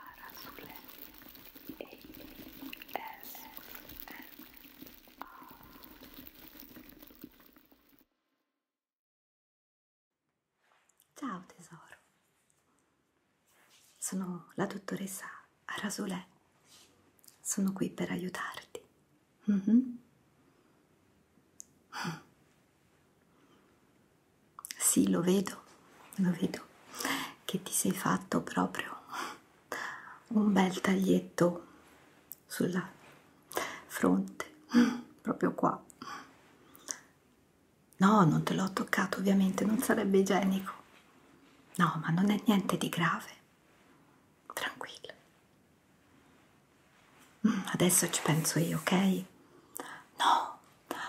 Arasule A S N R Ciao tesoro, sono la dottoressa Arasule, sono qui per aiutarti. Mm -hmm. Sì, lo vedo, lo vedo che ti sei fatto proprio un bel taglietto sulla fronte, proprio qua. No, non te l'ho toccato ovviamente, non sarebbe igienico. No, ma non è niente di grave. Tranquillo. Mm, adesso ci penso io, ok? No,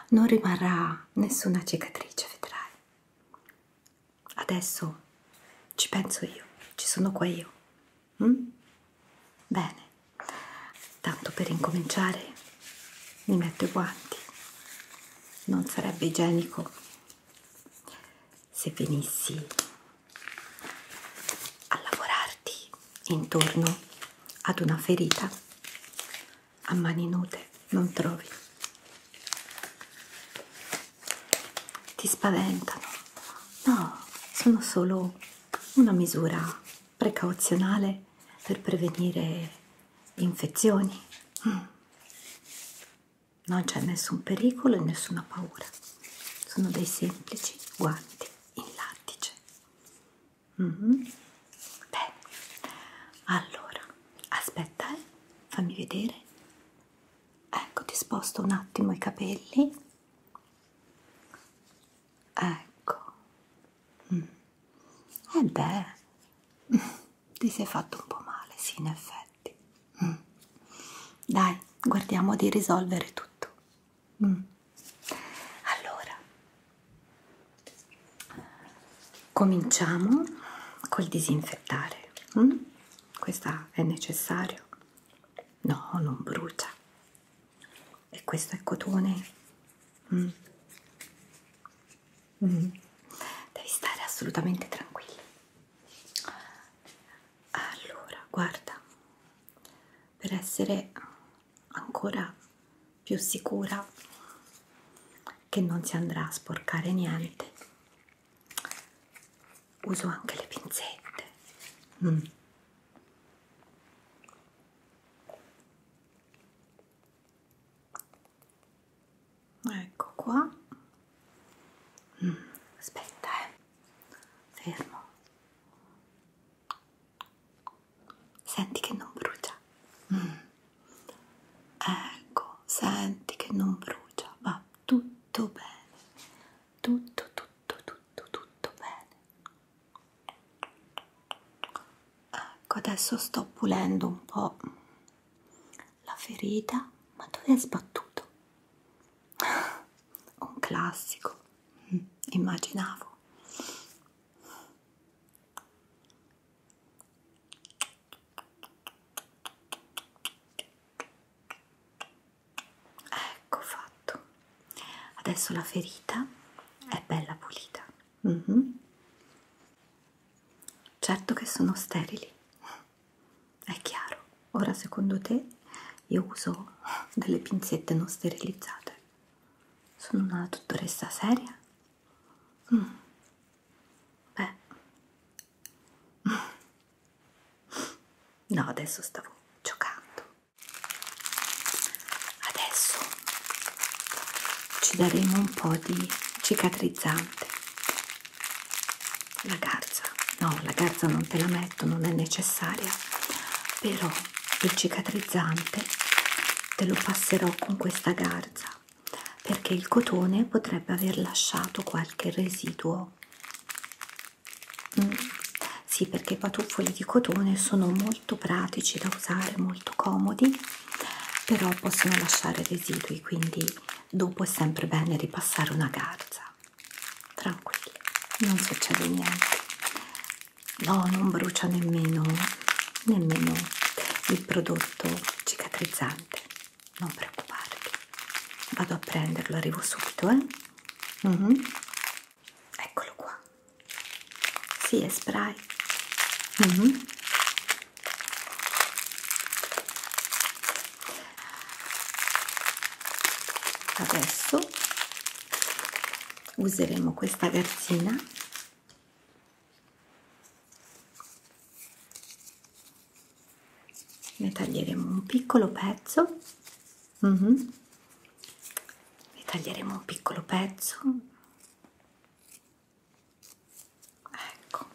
non rimarrà nessuna cicatrice, vedrai. Adesso ci penso io, ci sono qua io. Mm? Bene, tanto per incominciare mi metto i guanti. Non sarebbe igienico se venissi a lavorarti intorno ad una ferita a mani nude non trovi ti spaventano no sono solo una misura precauzionale per prevenire infezioni mm. non c'è nessun pericolo e nessuna paura sono dei semplici guanti in lattice Mm -hmm. Beh, allora, aspetta, eh, fammi vedere. Ecco, ti sposto un attimo i capelli. Ecco. Mm. Eh beh, ti sei fatto un po' male, sì, in effetti. Mm. Dai, guardiamo di risolvere tutto. Mm. Allora, cominciamo col disinfettare. Mm? Questa è necessario? No, non brucia. E questo è cotone? Mm. Mm. Devi stare assolutamente tranquillo. Allora, guarda, per essere ancora più sicura che non si andrà a sporcare niente uso anche le pinzette mm. ecco qua mm. aspetta eh fermo Senti che non brucia. Mm. Ecco, senti che non brucia, va tutto bene. Tutto, tutto, tutto, tutto bene. Ecco, adesso sto pulendo un po' la ferita. Ma dove hai sbattuto? un classico, mm, immaginavo. Ecco fatto. Adesso la ferita è bella pulita. Mm -hmm. Certo che sono sterili. È chiaro, ora secondo te io uso delle pinzette non sterilizzate? Sono una dottoressa seria? Mm. Beh, no, adesso stavo giocando. Adesso ci daremo un po' di cicatrizzante la garza no la garza non te la metto non è necessaria però il cicatrizzante te lo passerò con questa garza perché il cotone potrebbe aver lasciato qualche residuo mm. sì perché i patuffoli di cotone sono molto pratici da usare molto comodi però possono lasciare residui quindi dopo è sempre bene ripassare una garza tranquilli, non succede niente. No, non brucia nemmeno, nemmeno il prodotto cicatrizzante. Non preoccuparti, vado a prenderlo, arrivo subito, eh? Mm -hmm. Eccolo qua. Sì, è spray. Mm -hmm adesso useremo questa garzina ne taglieremo un piccolo pezzo mm -hmm. ne taglieremo un piccolo pezzo ecco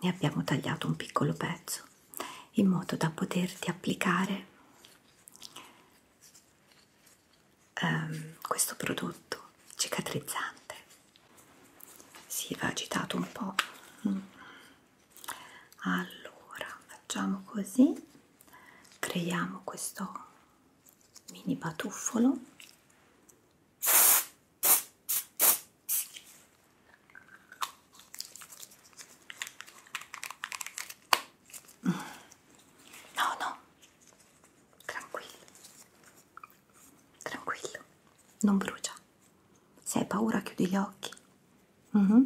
ne abbiamo tagliato un piccolo pezzo in modo da poterti applicare ehm, questo prodotto cicatrizzante si va agitato un po allora facciamo così creiamo questo mini batuffolo No, no, tranquillo, tranquillo, non brucia. Se hai paura chiudi gli occhi. Mm -hmm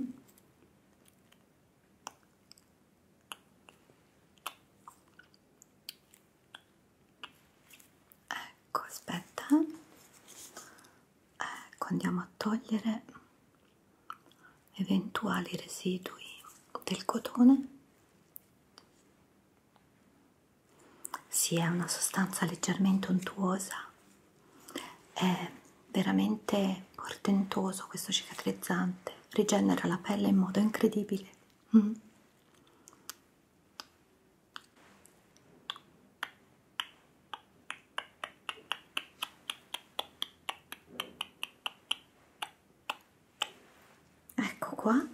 ecco aspetta ecco andiamo a togliere eventuali residui del cotone si sì, è una sostanza leggermente untuosa è veramente portentoso questo cicatrizzante rigenera la pelle in modo incredibile mm ecco qua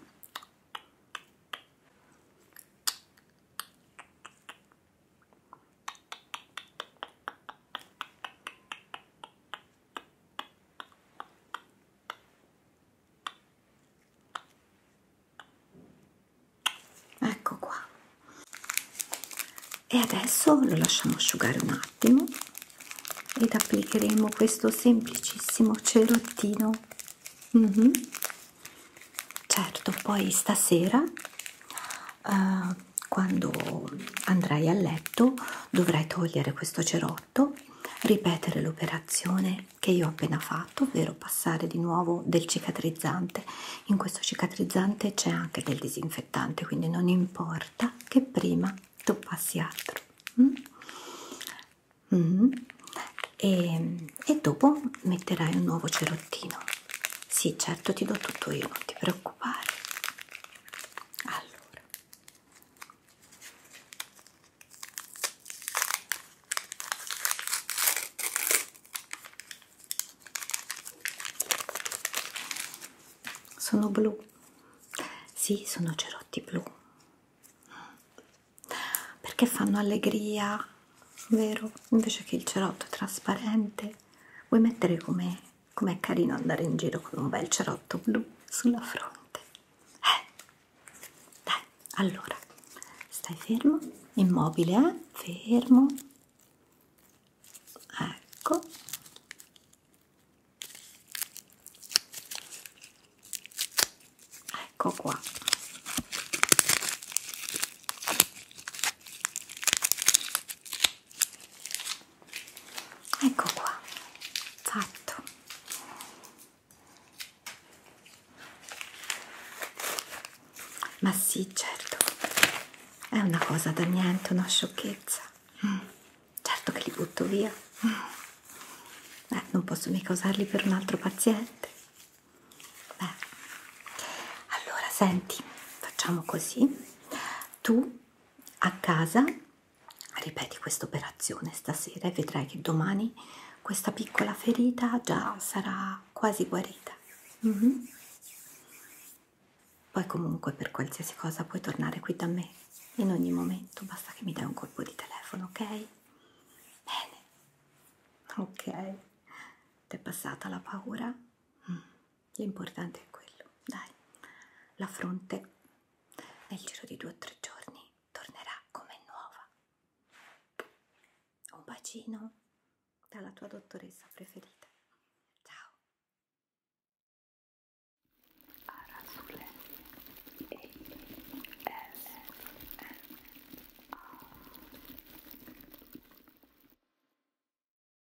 ecco qua e adesso lo lasciamo asciugare un attimo ed applicheremo questo semplicissimo cerottino mm -hmm. certo poi stasera uh, quando andrai a letto dovrai togliere questo cerotto 8 ripetere l'operazione che io ho appena fatto ovvero passare di nuovo del cicatrizzante in questo cicatrizzante c'è anche del disinfettante quindi non importa che prima tu passi altro mm? Mm. E, e dopo metterai un nuovo cerottino sì certo ti do tutto io non ti preoccupare allora sono blu, sì, sono cerotti blu perché fanno allegria, vero? Invece che il cerotto trasparente, vuoi mettere come com'è carino andare in giro con un bel cerotto blu sulla fronte eh dai allora stai fermo immobile eh fermo ecco ecco qua ecco qua fatto ma sì certo è una cosa da niente una sciocchezza mm. certo che li butto via mm. Beh, non posso mica usarli per un altro paziente Beh. allora senti facciamo così tu a casa ripeti questa operazione stasera e vedrai che domani questa piccola ferita già sarà quasi guarita. Mm -hmm. Poi comunque per qualsiasi cosa puoi tornare qui da me in ogni momento, basta che mi dai un colpo di telefono, ok? Bene, ok, ti è passata la paura? Mm l'importante è quello, dai, la fronte nel giro di due o tre giorni tornerà come nuova. Un bacino dalla tua dottoressa preferita. Ciao. Arasule e